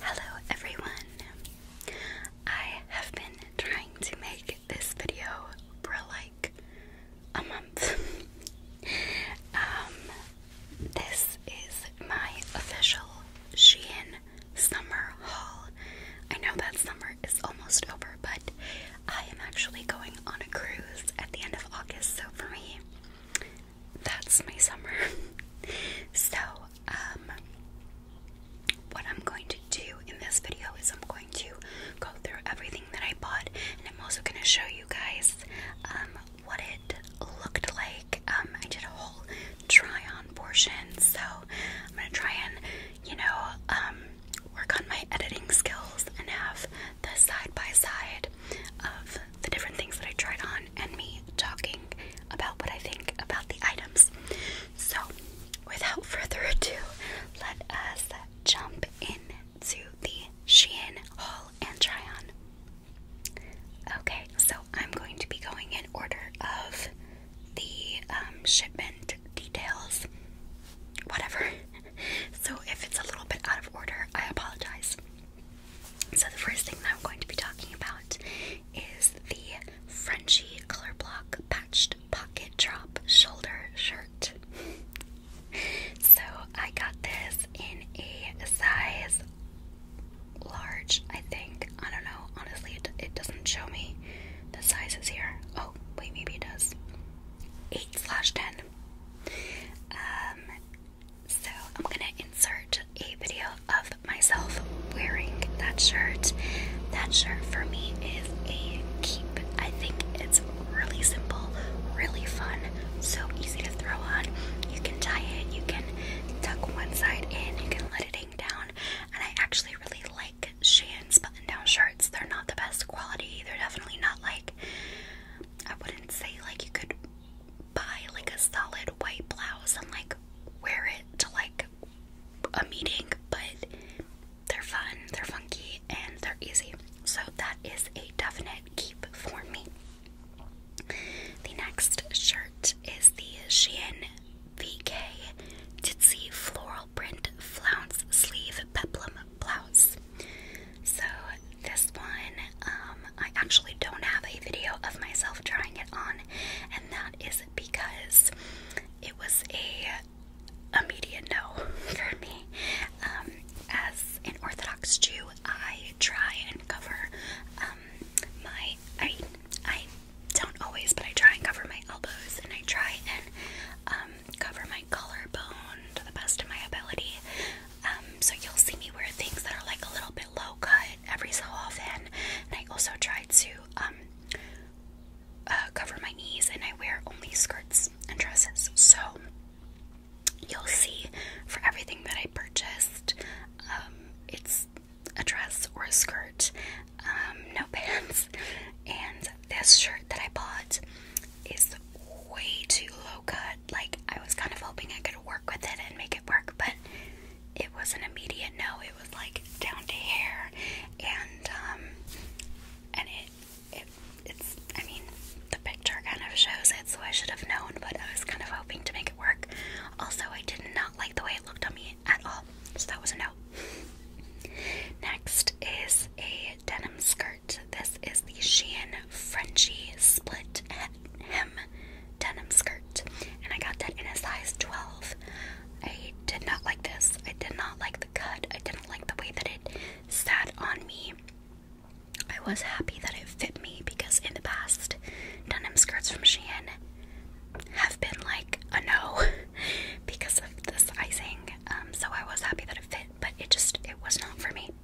Hello everyone! I have been trying to make this video for like a month. um, this is my official Shein summer haul. I know that summer is almost over, but I am actually going on a cruise at the end of August, so for me, that's my summer. so, um, what I'm going to do in this video is I'm going to go through everything that I bought, and I'm also going to show you guys um, what it looked like. Um, I did a whole try-on portion, so I'm going to try and, you know, um, work on my editing skills and have the side-by-side -side of the different things that I tried on and me talking about what I think about the items. So, without further ado, let us jump into the Shein haul and try on. Okay, so I'm going to be going in order of the um, shipment details, whatever. so, if it's a little bit out of order, I apologize. So the first thing that I'm going to be talking about is the Frenchy Color Block Patched Pocket Drop Shoulder Shirt. so I got this in a size large, I think. I don't know. Honestly, it, doesn't show me the sizes here. Oh, wait, maybe it does. 8 slash 10. Um, so I'm gonna insert a video of myself wearing that shirt. That shirt for me is a keep. I think it's really simple, really fun, so easy to throw on. You can tie it, you can tuck one side in, you can let it hang down. And I actually really like Shan's button down shirts. They're not the best quality, they're definitely not like I wouldn't say like you could buy like a solid white blouse and like wear it to like a meeting, but they're fun, they're funky, and they're easy. So that is a definite keep for me. The next shirt is the Shein VK Ditsy Floral Print Flounce Sleeve Peplum Blouse. So this one um, I actually don't have a video of myself trying it on, and that is because it was a immediate no for me. Um, as an Orthodox Jew, I try and cover um, my I I don't always, but I try and cover my elbows, and I try and um, cover my collarbone to the best of my ability. Um, so you'll see me wear things that are like a little bit low cut every so often. And I also try to um, uh, cover my knees and I wear only skirts and dresses. So you'll see for everything that I purchased, um, it's a dress or a skirt, um, no pants. And this shirt that I bought is way too low cut. Like, I was kind of hoping I could work with it and make it work, but it was an immediate no. It was like down to hair, and um, and it, it, it's. I mean, the picture kind of shows it, so I should have known. But I was kind of hoping to make it work. Also, I did not like the way it looked on me at all, so that was a no. Next is a denim skirt. This is the Shein Frenchy split hem denim skirt, and I got that in a size 12. I did not like this. I did not like the cut. I didn't like the way that it sat on me. I was happy that it fit me because in the past, denim skirts from Shein have been like a no because of the sizing. Um, so I was happy that it fit, but it just it was not for me.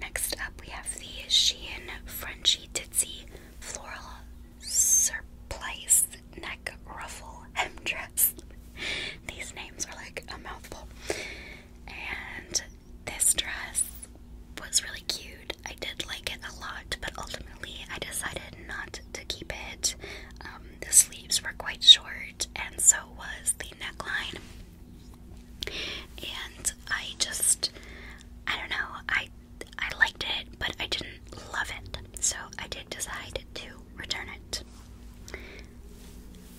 Next up, we have the Shein Frenchy Titsy Floral Surplice Neck Ruffle Hem Dress. These names are like a mouthful. And this dress was really cute. I did like it a lot, but ultimately I decided not to keep it. Um, the sleeves were quite short, and so was the neckline and I just I don't know I I liked it but I didn't love it so I did decide to return it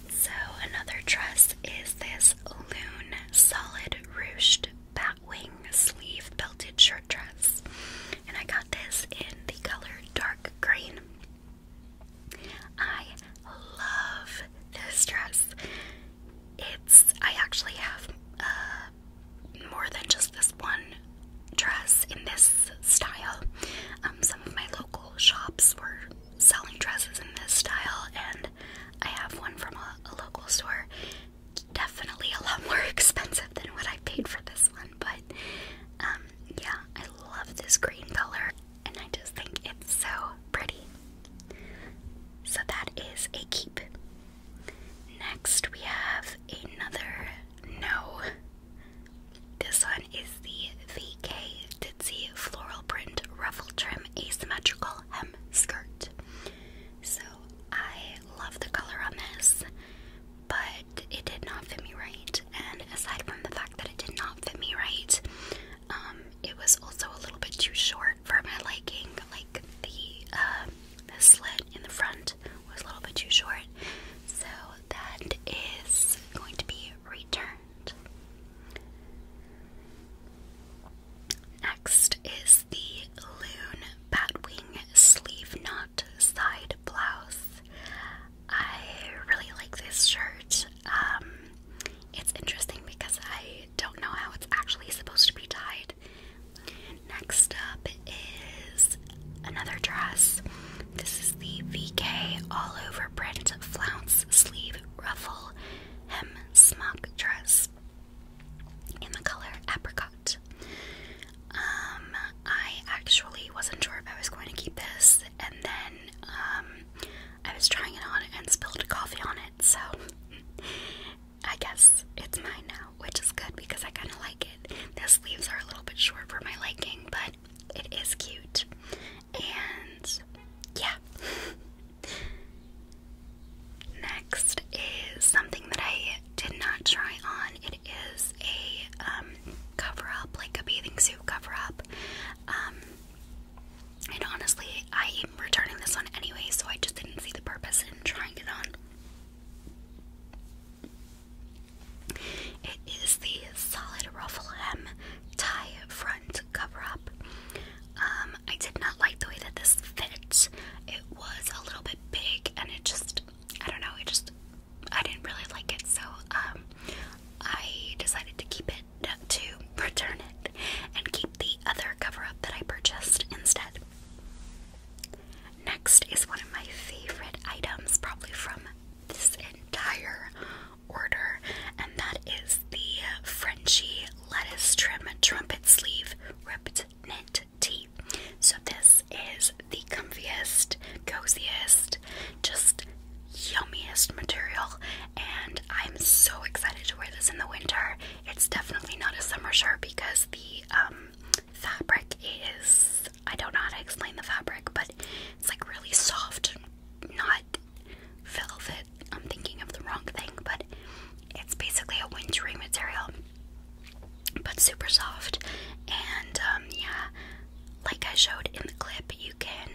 so another dress is this Loon solid ruched batwing sleeve belted shirt dress and I got this in the color dark green I love this dress. It's, I actually have uh, more than just this one dress in this style. Um, some of my local shops were selling dresses in this style, and I have one from a, local store. Definitely a lot more expensive than what I paid for this one, but um, yeah, I love this green color and I just think it's so pretty. So that is a keep. Next, we have another no. This one is the VK Ditsy Floral Print Ruffle Trim Asymmetrical Hem Skirt. So I love the color on this, but it did not fit me right. And aside from the fact that it did not fit me right, um, it was also a little bit too short for my liking. Like the uh, the slit in the front was a little bit too short, so that is going to be returned. Next is the Loon Batwing Sleeve Knot Side Blouse. I really like this shirt. Um, it's interesting because I don't know how it's actually supposed to be tied. Next up is another dress. This is the VK all over print flounce sleeve ruffle hem smock dress in the color apricot. Um, I actually wasn't sure if I was going to keep this, and then um, I was trying it on and spilled coffee on it, so I guess it's mine now, which is good because I kind of like it. The sleeves are a little bit short for my liking, but it is cute. And yeah. Next is something that I did not try on. It is a um, cover up, like a bathing suit cover up. Um, and honestly, I am returning this one anyway, so I just didn't see the purpose in trying it on. It is the solid ruffle hem tie front cover up. Um, I did not like the way that this fit. It was a little bit big, and it just, I don't know, it just, I didn't really like it, so um, I decided to keep it to return it and keep the other cover up that I purchased instead. Next is one of my favorite items, probably from this entire order, and that is the Frenchy Lettuce Trim Trumpet Sleeve Ripped Knit Tee. So, this is the comfiest, coziest, just yummiest material, and I'm so excited to wear this in the winter. It's definitely not a summer shirt because the um, fabric is I don't know how to explain the fabric, but it's like really soft, not velvet. I'm thinking of the wrong thing, but it's basically a wintry material, but super soft. And um, yeah, like I showed in the clip, you can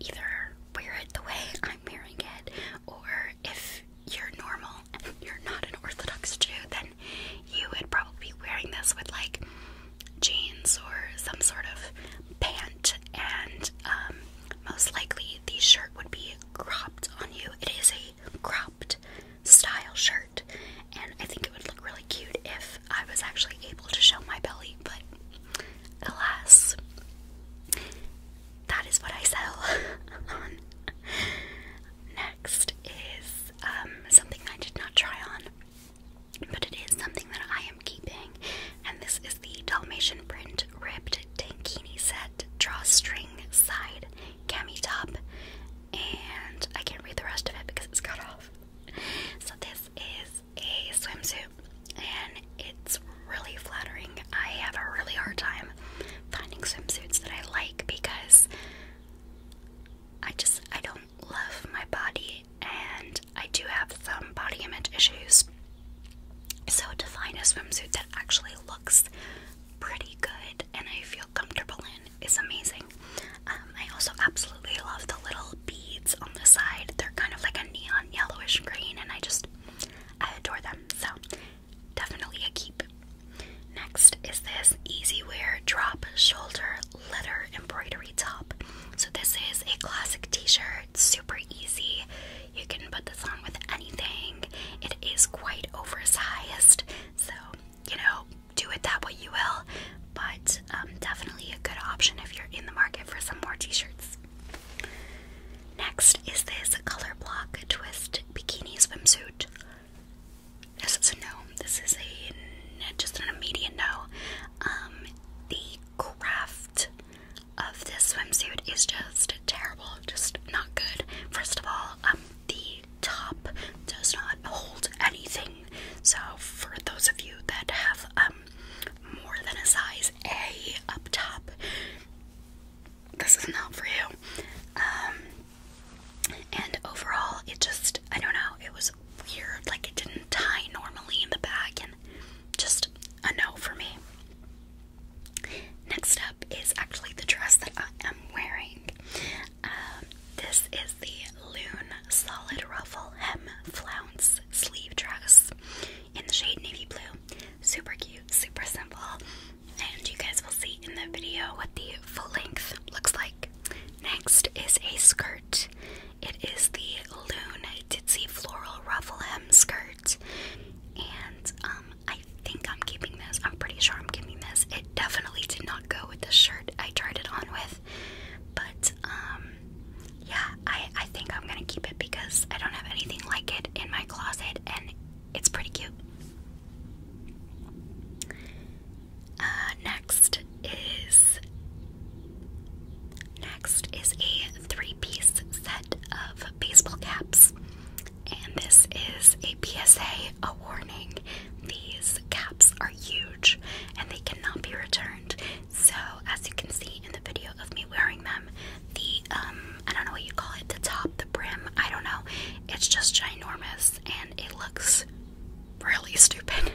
either wear it the way I'm wearing it, or if you're normal and you're not an Orthodox Jew, then you would probably be wearing this with like jeans or some sort of pant, and um, most likely the shirt would be cropped on you. It is a cropped style shirt, and I think it would look really cute if I was actually able to show my belly, but alas, that is what I sell Next is um, something I did not try on, but it is something that I am keeping, and this is the Dalmatian print ripped tankini set drawstring side cami top, and I can't read the rest of it because it's cut off. So this is a swimsuit and it's really flattering. I have a really hard time finding swimsuits that I like because I just I don't love my body and I do have some body image issues. So to find a swimsuit that actually looks pretty good and I feel comfortable in is amazing. Um, I also absolutely love the little beads on the side. They're kind of like a neon yellowish green and I just I adore them. So, definitely a keep. Next is this Easy Wear Drop Shoulder letter Embroidery Top. So, this is a classic t shirt, super easy. You can put this on with anything. It is quite oversized, so you know, do it that way you will. But um, definitely a good option if you're in the market for some more t shirts. Next is this color block twist bikini swimsuit. This is a no. This is a just an immediate no. Um, the craft of this swimsuit is just terrible. Just not good. First of all, um, the top does not hold anything. So for those of you that have um more than a size A up top, this is not for you. Um, and overall, it just, I don't know, it was weird. Like, it didn't tie normally in the back, and just a no for me. Next up is actually the dress that I am wearing. Um, this is the Loon Solid Ruffle Hem Flounce Sleeve Dress in the shade navy blue. Super cute, super simple. And you guys will see in the video what the full length looks like. Next is a skirt. It is the Loon Ditsy Floral Ruffle Hem Skirt. And um, I think I'm keeping this. I'm pretty sure I'm keeping this. It definitely did not go with the shirt I tried it on with. But um, yeah, I, I think I'm gonna keep it because I don't have anything like it in my closet and it's pretty cute. Uh, next is next is a three-piece set of baseball caps. And this is a PSA, a warning. These caps are huge and they cannot be returned. So as you can see in the video of me wearing them, the um, I don't know what you call it, the top, the brim, I don't know. It's just ginormous and it looks really stupid.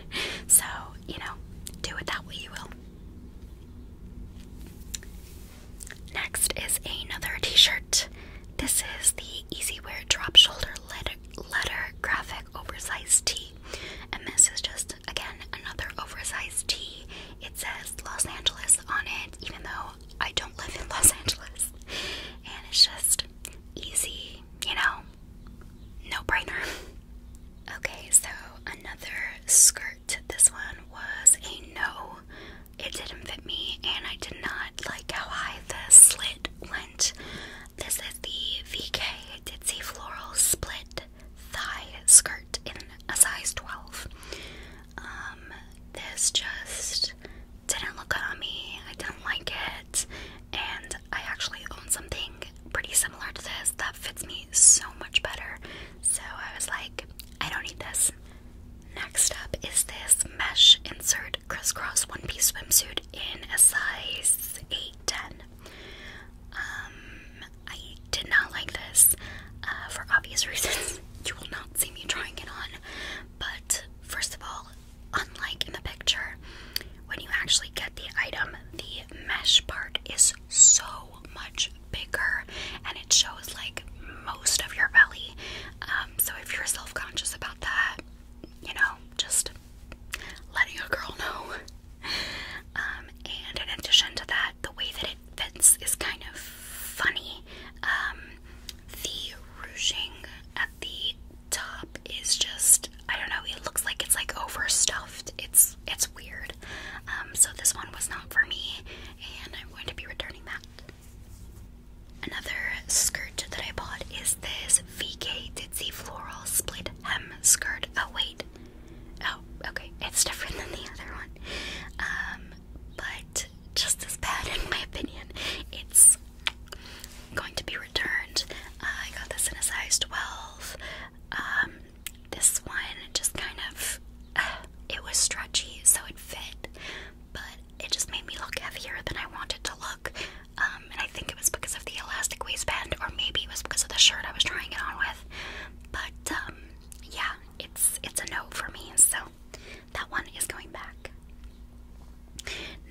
So, you know, do it that way you will. Next is another t-shirt. This is the Easy Wear Drop Shoulder letter, letter Graphic Oversized Tee. And this is just again another oversized tee. It says Los Angeles on it, even though I don't live in Los Angeles. And it's just easy, you know, no brainer. Okay, so another skirt. This one was a no. It didn't fit me, and I did not like how high the slit went. This is the VK Ditsy Floral Split thigh skirt in a size 12. Um, this just didn't look good on me. I didn't like it. And I actually own something pretty similar to this that fits me so much better. So I was like, I don't need this. Next up is this mesh insert crisscross one piece swimsuit in a size 810. Um, I did not like this uh, for obvious reasons. you will not see me trying it on. But first of all, unlike in the picture, when you actually get the item, the mesh part is so much bigger and it shows like most of your belly. Um, so if you're self conscious about that, you know, just letting a girl know um, and in addition to that, the way that it fits is kind of funny. Um, the ruching at the top is just I don't know, it looks like it's like overstuffed. It's it's weird. Um, so this one was not for me and I'm going to be returning that. Another skirt that I bought is this VK Ditsy Floral Split Hem Skirt. Oh wait, Oh, okay. It's different than the other one. Um, but just as bad, in my opinion. It's going to be returned. I got this in a size 12. Um, this one just kind of. it was stretchy, so it fit, but it just made me look heavier than I wanted to look. Um, and I think it was because of the elastic waistband, or maybe it was because of the shirt I was trying it on with. But um, yeah, it's it's a no for me, so that one is going back.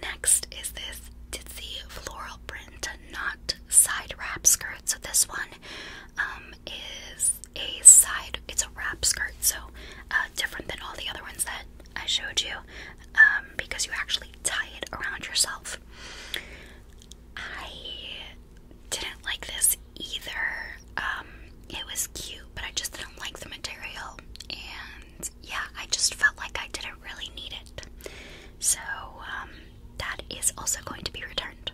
Next is this ditzy floral print knot side wrap skirt. So this one um, is a side it's a wrap skirt, so uh, different than all the other ones that I showed you, um, because you actually tie it around yourself. I didn't like this either. Um, it was cute, but I just didn't like the material. And yeah, I just felt like I didn't really need it. So um, that is also going to be returned.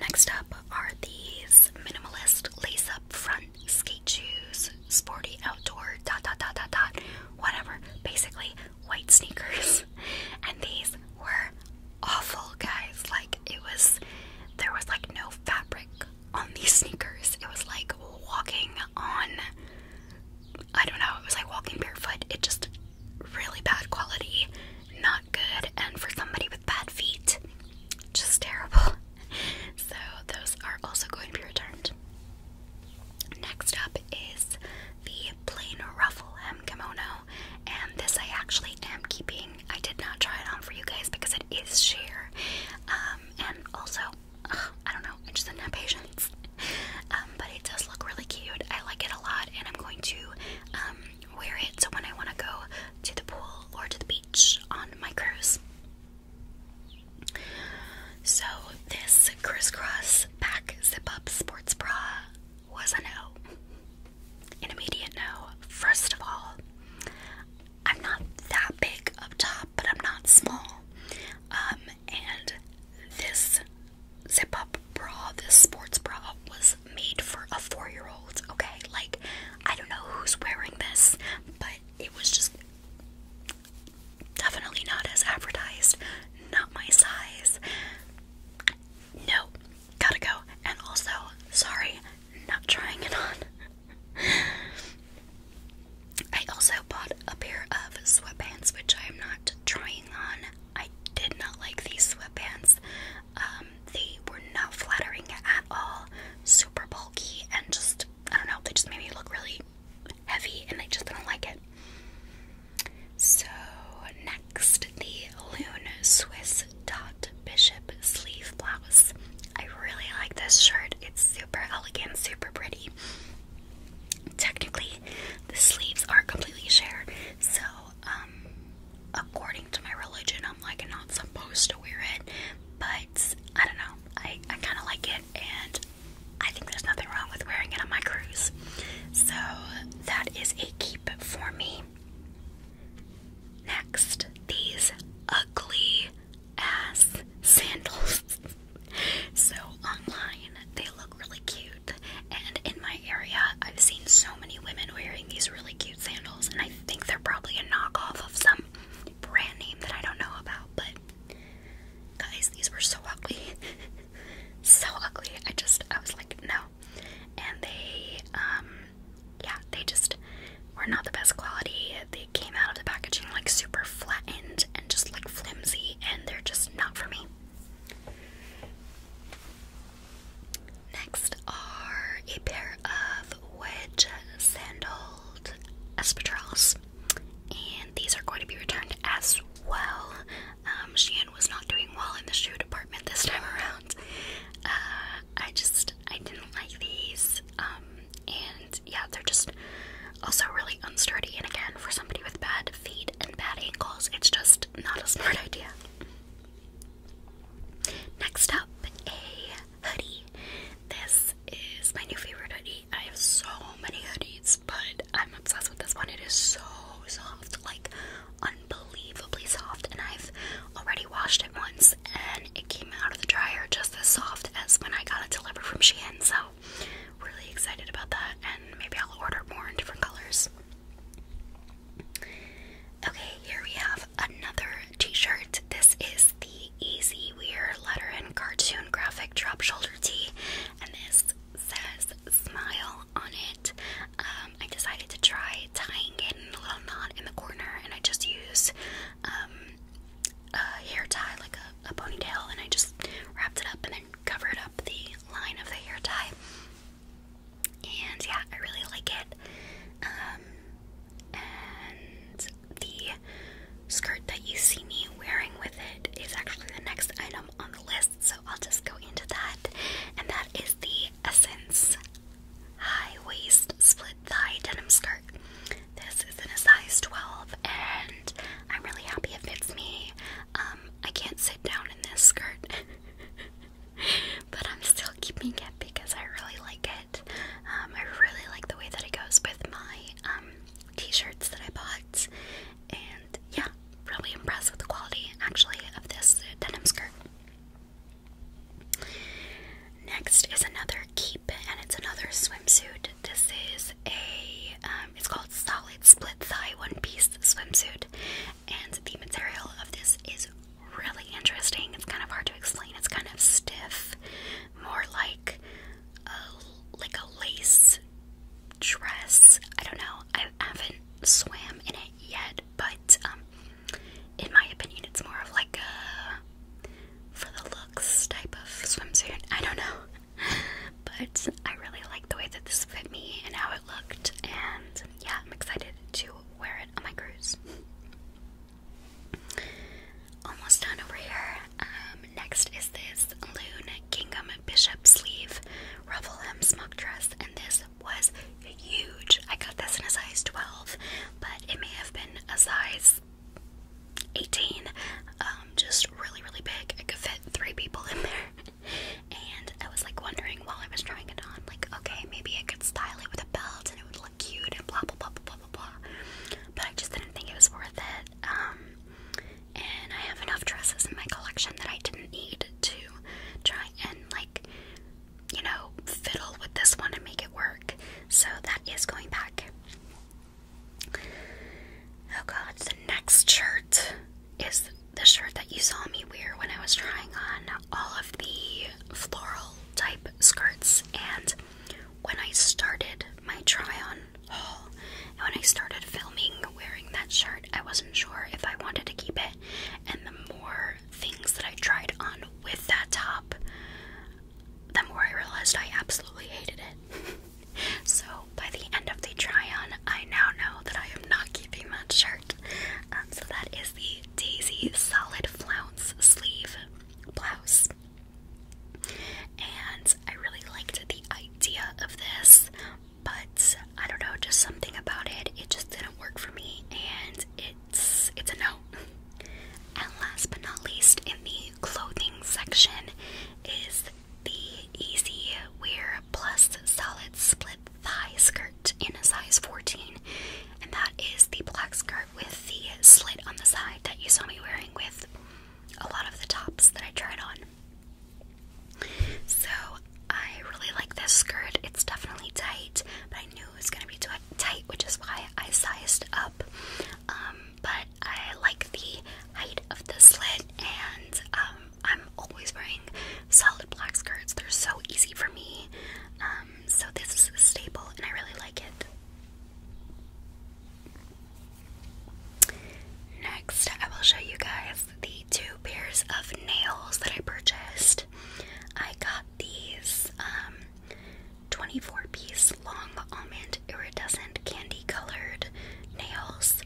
Next up are these minimalist lace up front skate shoes, sporty outdoor dot dot dot dot dot, whatever. Basically, white sneakers, and these were awful, guys. Like, it was, there was like no fabric on these sneakers. It was like walking on, I don't know, it was like walking barefoot. It just, really bad quality, not good, and for somebody with bad feet, just terrible. So, those are also going to be returned. Next up is the plain ruffle hem kimono, and this I actually am keeping. I did not try it on for you guys because it is sheer, um, and also I don't know, I just didn't have patience. Um, but it does look really cute. I like it a lot, and I'm going to um, wear it so when I want to go to the pool or to the beach on my cruise. So this crisscross back zip-up sports bra was a no. An immediate no. First of all, I'm not that big up top, but I'm not small. Um, and this zip up bra, this sports bra, was made for a four year old, okay? Like, I don't know who's wearing this, but it was just definitely not as advertised, not my size no, gotta go. And also, sorry, not trying it on. I also bought a pair of sweatpants, which I am not trying on. I did not like these sweatpants. Um, they were not flattering at all. Super bulky and just, I don't know, they just made me look really heavy and I just didn't like it. So next, the Loon Swiss Dot Bishop sleeve blouse. I really like this shirt. It's super elegant, super pretty. Technically, the sleeves are completely sheer, so um, according to my religion, I'm like not supposed to wear it. But I don't know. I I kind of like it, and I think there's nothing wrong with wearing it on my cruise. So that is a keep for me. Next, these ugly ass sandals. so online, they look really cute, and in my area, I've seen so many women wearing these really cute sandals, and I think they're probably a knockoff of some brand name that I don't know about. But guys, these were so ugly. so ugly. I just, I was like, no. And they, um, yeah, they just were not the best quality. They came out of the packaging like super flattened and just like flimsy, and they're just not for me. Next are a pair of wedge sandaled espadrilles, and these are going to be returned as well. Um, was not doing well in the shoe department this time around. Uh, I just I didn't like these. Um, and yeah, they're just also really unsturdy. And again, for somebody with bad feet and bad ankles, it's just not a smart idea. Next up, a hoodie. This is my new favorite hoodie. I have so many hoodies, but I'm obsessed with this one. It is so soft, like unbelievably soft, and I've already washed it once and it came out of the dryer just as soft as when I got it delivered from Shein, so really excited about that and maybe I'll order more in different colors. Okay, here we have another t-shirt. This is the Easy Wear letter and cartoon graphic drop shoulder tee, and this says smile on it. Um, I decided to try tying it in a little knot in the corner, and I just use um, a hair tie, like a, ponytail, and I just wrapped it up and then covered up the line of the hair tie. And yeah, I really like it. Um, and the skirt that you see me wearing with it is actually the next item on the list so I'll just go into that. And that is the Essence High Waist Split Thigh Denim Skirt. This is in a size 12, and I'm really happy it fits me. Um, I can't sit down in this skirt, but I'm still keeping it because I really like it. Um, I really like the way that it goes with my um, t-shirts that I bought and yeah, really impressed with the quality actually of this denim skirt. Next is another keep and it's another swimsuit. This is a um, it's called solid split thigh one piece swimsuit and the material of this is really interesting. It's kind of hard to explain. It's kind of stiff, more like like a lace dress. I don't know. I haven't swam in it yet, but um, in my opinion, it's more of like a for the looks type of swimsuit. I don't know, but I really like the way that this fit me and how it looked, and yeah, I'm excited to wear it on my cruise. Almost done over here. Um, next is this Loon Kingham Bishop Sleeve Ruffle Hem Smock Dress, and this was huge. I got this in a size 12, but it may have been a size 18. Um, just really, really big. It could fit three people in there. and I was like wondering while I was trying it on, like, okay, maybe I could style it with a belt and it would look cute and blah, blah, blah, blah, blah, blah. But I just didn't think it was worth it. Um, and I have enough dresses in my collection that I didn't need to try and, like, you know, fiddle with this one and make it work. So that is going back. Oh god, the next shirt is the shirt that you saw me wear when I was trying on all of the floral type skirts. And when I started my try on when I started filming wearing that shirt, I wasn't sure if I wanted to keep it. And the more things that I tried on with that top, the more I realized I absolutely hated it. so by the end of the try on, I now know that I am not keeping that shirt. Um, so that is the Daisy Solid Flounce Sleeve blouse. And I really liked the idea of this, but I don't know, just something about it. It just didn't work for me, and it's it's a no. and last but not least, in the clothing section is the Easy Wear Plus Solid Split Thigh Skirt in a size 14, and that is the black skirt with the slit on the side that you saw me wearing with a lot of the tops that I tried on. So I really like this skirt. It's definitely tight, but I knew it was gonna be tight, which is why I sized up. Um, but I like the height of the slit, and um, I'm always wearing solid black skirts. They're so easy for me. Um, so this is stable, and I really like it. Next, I will show you guys the two pairs of nails that I purchased. I got these um, 24 piece long almond iridescent candy colored nails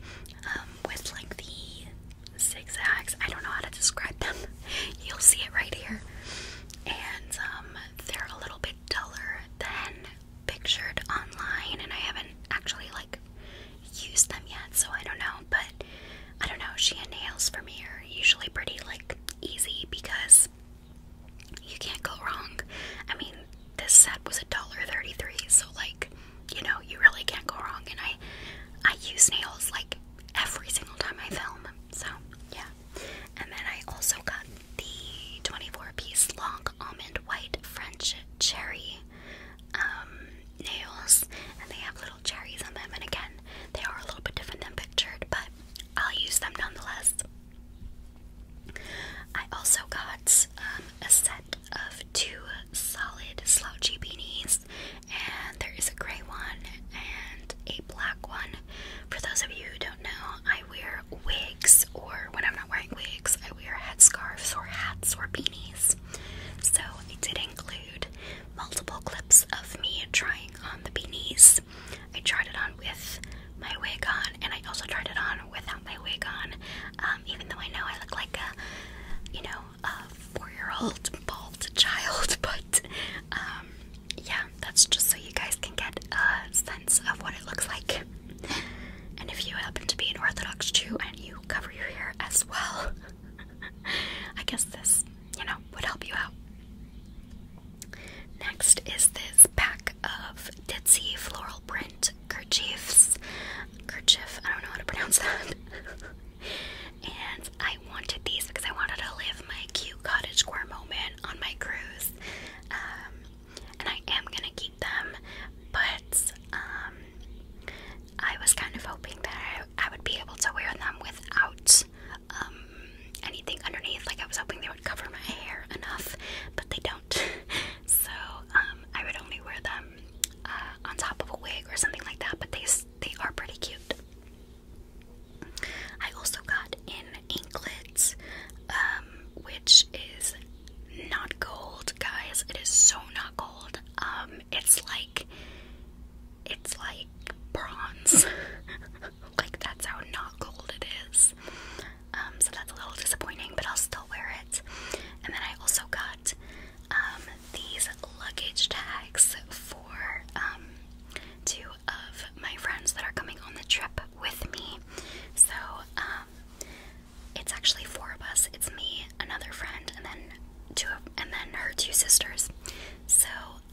um, with like the zigzags. I don't know how to describe them. You'll see it right here. And um, they're a little bit duller than pictured online, and I haven't actually like Use them yet, so I don't know. But I don't know. She and nails for me are usually pretty like easy because you can't go wrong. I mean, this set was a dollar thirty-three, so like you know, you really can't go wrong. And I I use nails like every single time I film. So yeah. And then I also got the 24 piece long almond white French cherry um, nails, and they have little cherries on them. And again, they are a little bit different than pictured, but I'll use them nonetheless. I also got um, a set of two solid slouchy beanies, and there is a gray one and a black one. For those of you who don't know, I wear wigs, or when I'm not wearing wigs, could wear headscarves or hats or beanies. So I did include multiple clips of me trying on the beanies. I tried it on with my wig on, and I also tried it on without my wig on. Um, even though I know I look like a, you know, a four-year-old bald child, but um, yeah, that's just so you guys can get a sense of what it looks like and if you happen to be an Orthodox Jew and you cover your hair as well, I guess this, you know, would help you out. Next is this pack of Ditsy floral print kerchiefs. Kerchief, I don't know how to pronounce that. and I wanted these because I wanted to live my cute cottagecore moment on my cruise. Um, and I am gonna keep them, but um, I was kind of hoping that I, would be able to wear them without um, anything underneath. Like I was hoping they would cover my hair enough, but they don't. so um, I would only wear them uh, on top of a wig or something like that. But they they are pretty cute. I also got in anklet, which is not gold, guys. It is so not gold. Um, it's like it's like bronze. like that's how not gold it is. Um, so that's a little disappointing, but I'll still wear it. And then I also got um these luggage tags for um two of my friends that are coming on the trip with me. So um it's actually four of us. It's me, another friend, and then two and then her two sisters. So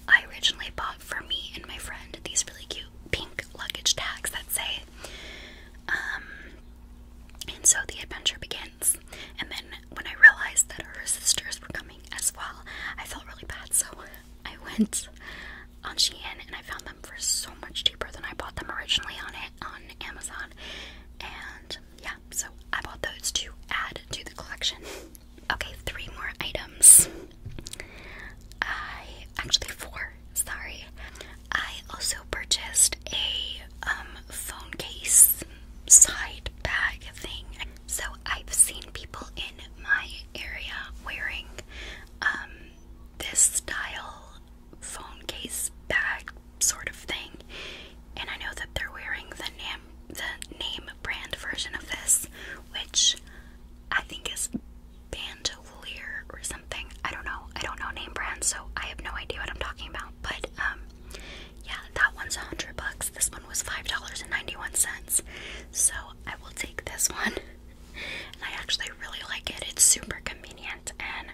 I originally bought for me and my friend these really cute pink luggage tags that say um and so the adventure begins. And then when I realized that her sisters were coming as well, I felt really bad. So I went on Shein and I found them for so much cheaper than I bought them originally on it on Amazon. And yeah, so I bought those to add to the collection. Okay, three more items. I actually four, sorry. I also purchased a um, phone case side bag thing. So I've seen people in my area wearing um, this style phone case bag sort of thing. And I know that they're wearing the name the name brand version of this, which I think is Bandolier or something. I don't know. I don't know name brands, so I have no idea what I'm talking about. But um yeah, that one's a hundred bucks. This one was five dollars and ninety-one cents. So I will take this one. And I actually really like it. It's super convenient and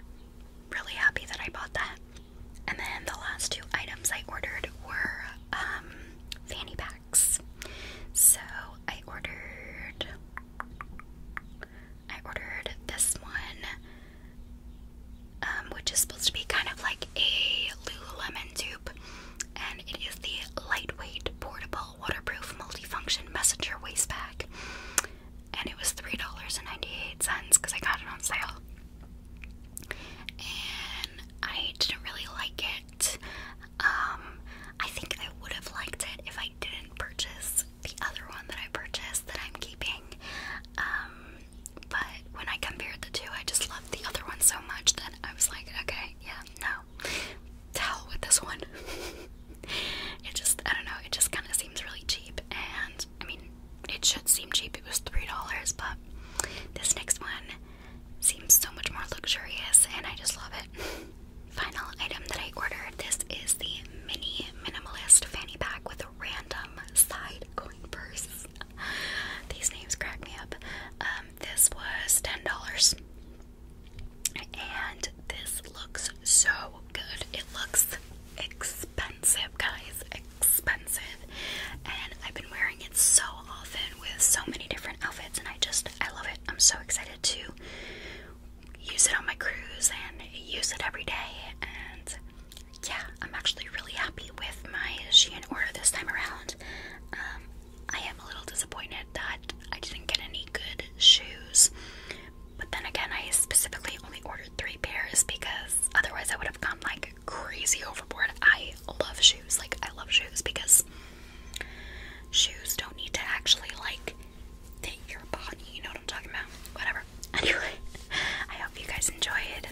really happy that I bought that. And then the last two items I ordered were um, fanny packs. So I ordered, I ordered this one, um, which is supposed to be kind of like a Lululemon dupe, and it is the lightweight, portable, waterproof, multifunction messenger waist bag and it was $3.98 because I got it on sale. And I didn't really like it. Um, I think I would have liked it if I didn't purchase the other one that I purchased that I'm keeping. Um, but when I compared the two, I just loved the other one so much that I was like, okay, yeah, no, hell with this one. It just, I don't know, it just kind of seems really cheap. And I mean, it should seem cheap, it was $3, but this next one seems so much more luxurious and I just love it. Final item that I ordered this is the mini minimalist fanny pack with a random side coin purse. These names crack me up. Um, this was $10. And this looks so good. It looks expensive, guys. Expensive. And I've been wearing it so often with so many different outfits, and I just, I love it. I'm so excited to use it on my cruise and use it every day. And yeah, I'm actually really happy with my Shein order this time around. Um, I am a little disappointed that I didn't get any good shoes but then again, I specifically only ordered three pairs because otherwise I would have gone like crazy overboard. I love shoes. Like, I love shoes because shoes don't need to actually like take your body. You know what I'm talking about? Whatever. Anyway, I hope you guys enjoyed.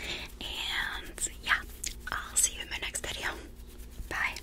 And yeah, I'll see you in my next video. Bye.